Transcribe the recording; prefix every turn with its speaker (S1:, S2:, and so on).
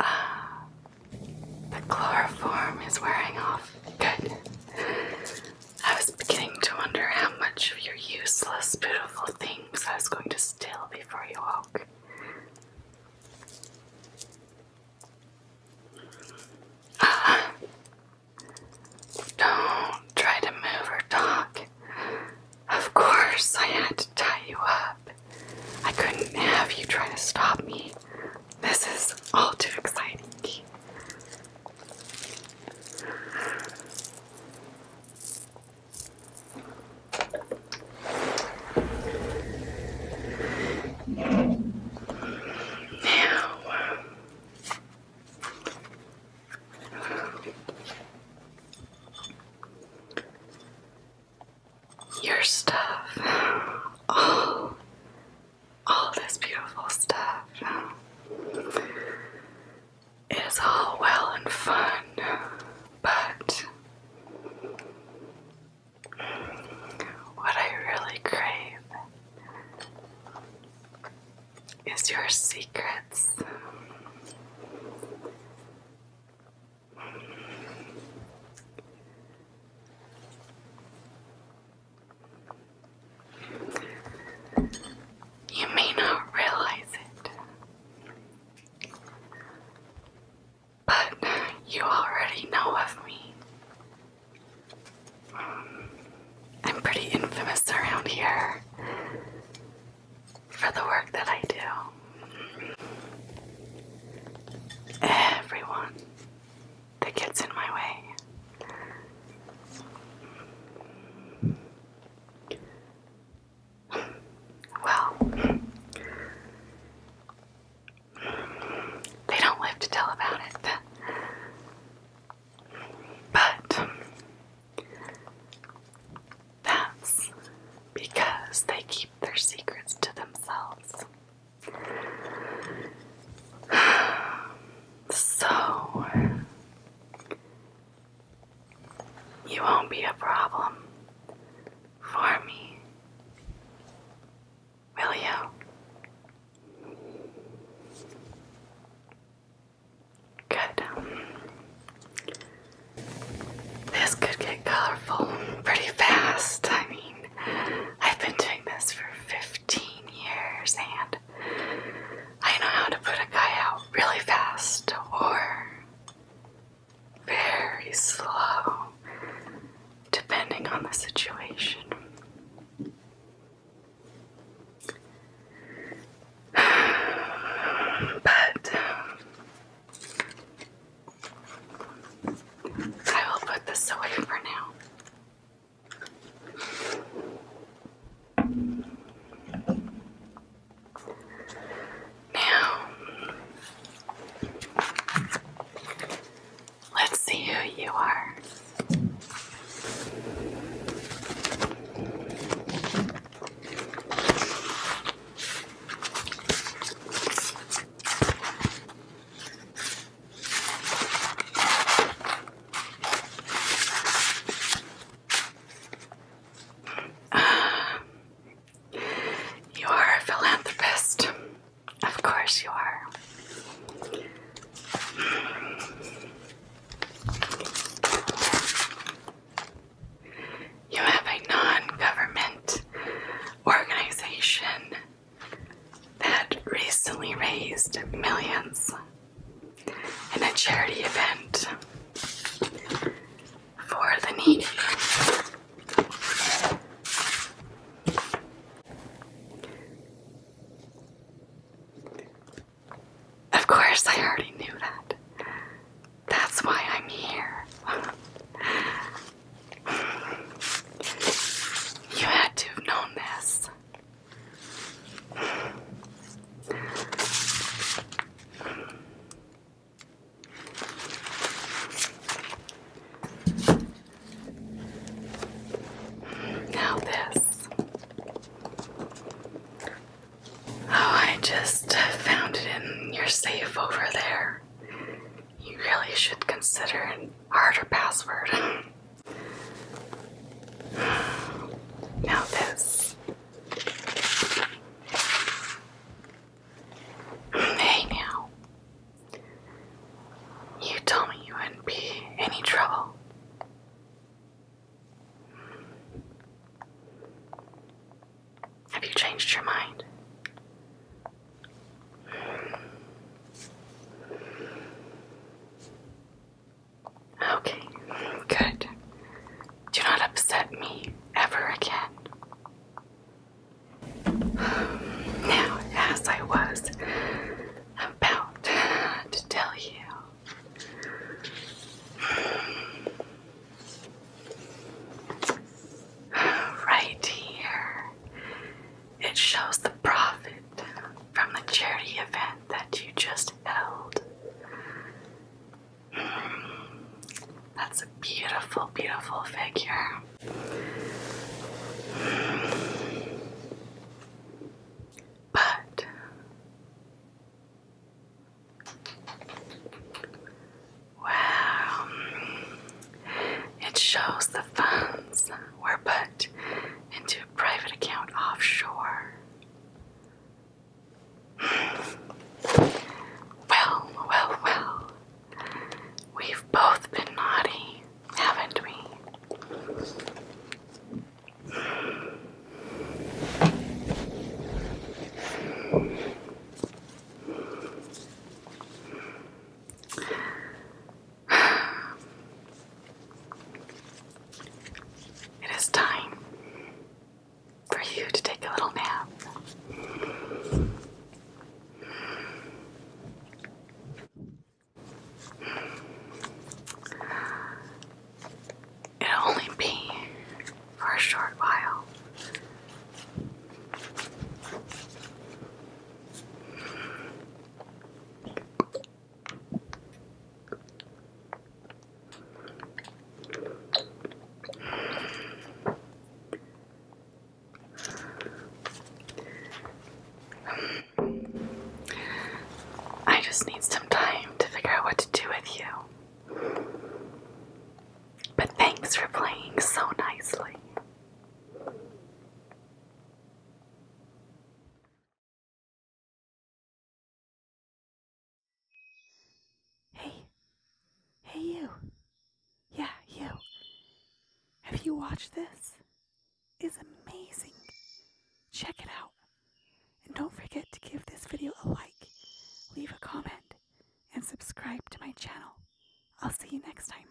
S1: Ah, the chloroform is wearing off. Good. I was beginning to wonder how much of your useless, beautiful things I was going to steal before you woke. Ah. Don't try to move or talk. Of course, I had to tie you up. I couldn't have you try to stop me. This is all too exciting. Now, your stuff. All, all this beautiful stuff is all well and fun, but what I really crave is your secrets. You may not realize it, but you already know of me. I'm pretty infamous around here for the work that I do. Everyone that gets in my way. Well, they don't live to tell about it. But that's because they keep their secrets to themselves. So, you won't be a problem for me will you? Good. Um, this could get colorful pretty fast. I mean, I've been doing this for 15 years and I know how to put a guy out really fast or very slow depending on the situation. But um, I will put this away for now. Now, Let's see who you are. You are a philanthropist. Of course you are. You have a non government organization that recently raised millions in a charity event for the needy. Of course, I already knew that. That's why I'm here. you had to have known this. Now, this. Oh, I just found it in your safe over there. You really should consider an harder password. now, this. Hey now. You told me you wouldn't be any trouble. Have you changed your mind? Okay, good. Do not upset me ever again. Now, as I was about to tell you, right here it shows the profit from the charity event that you just held. That's a beautiful, beautiful figure. But wow, it shows the funds were put into a private account offshore. Well, well, well. We've both been naughty, haven't we? It is time for you to take a little nap. It'll only be for a short while. I just need some time to figure out what to do with you. But thanks for playing so nicely. Hey. Hey, you. Yeah, you. Have you watched this? It's amazing. Check it out. And don't forget to give this video a like, leave a comment, and subscribe to my channel. I'll see you next time.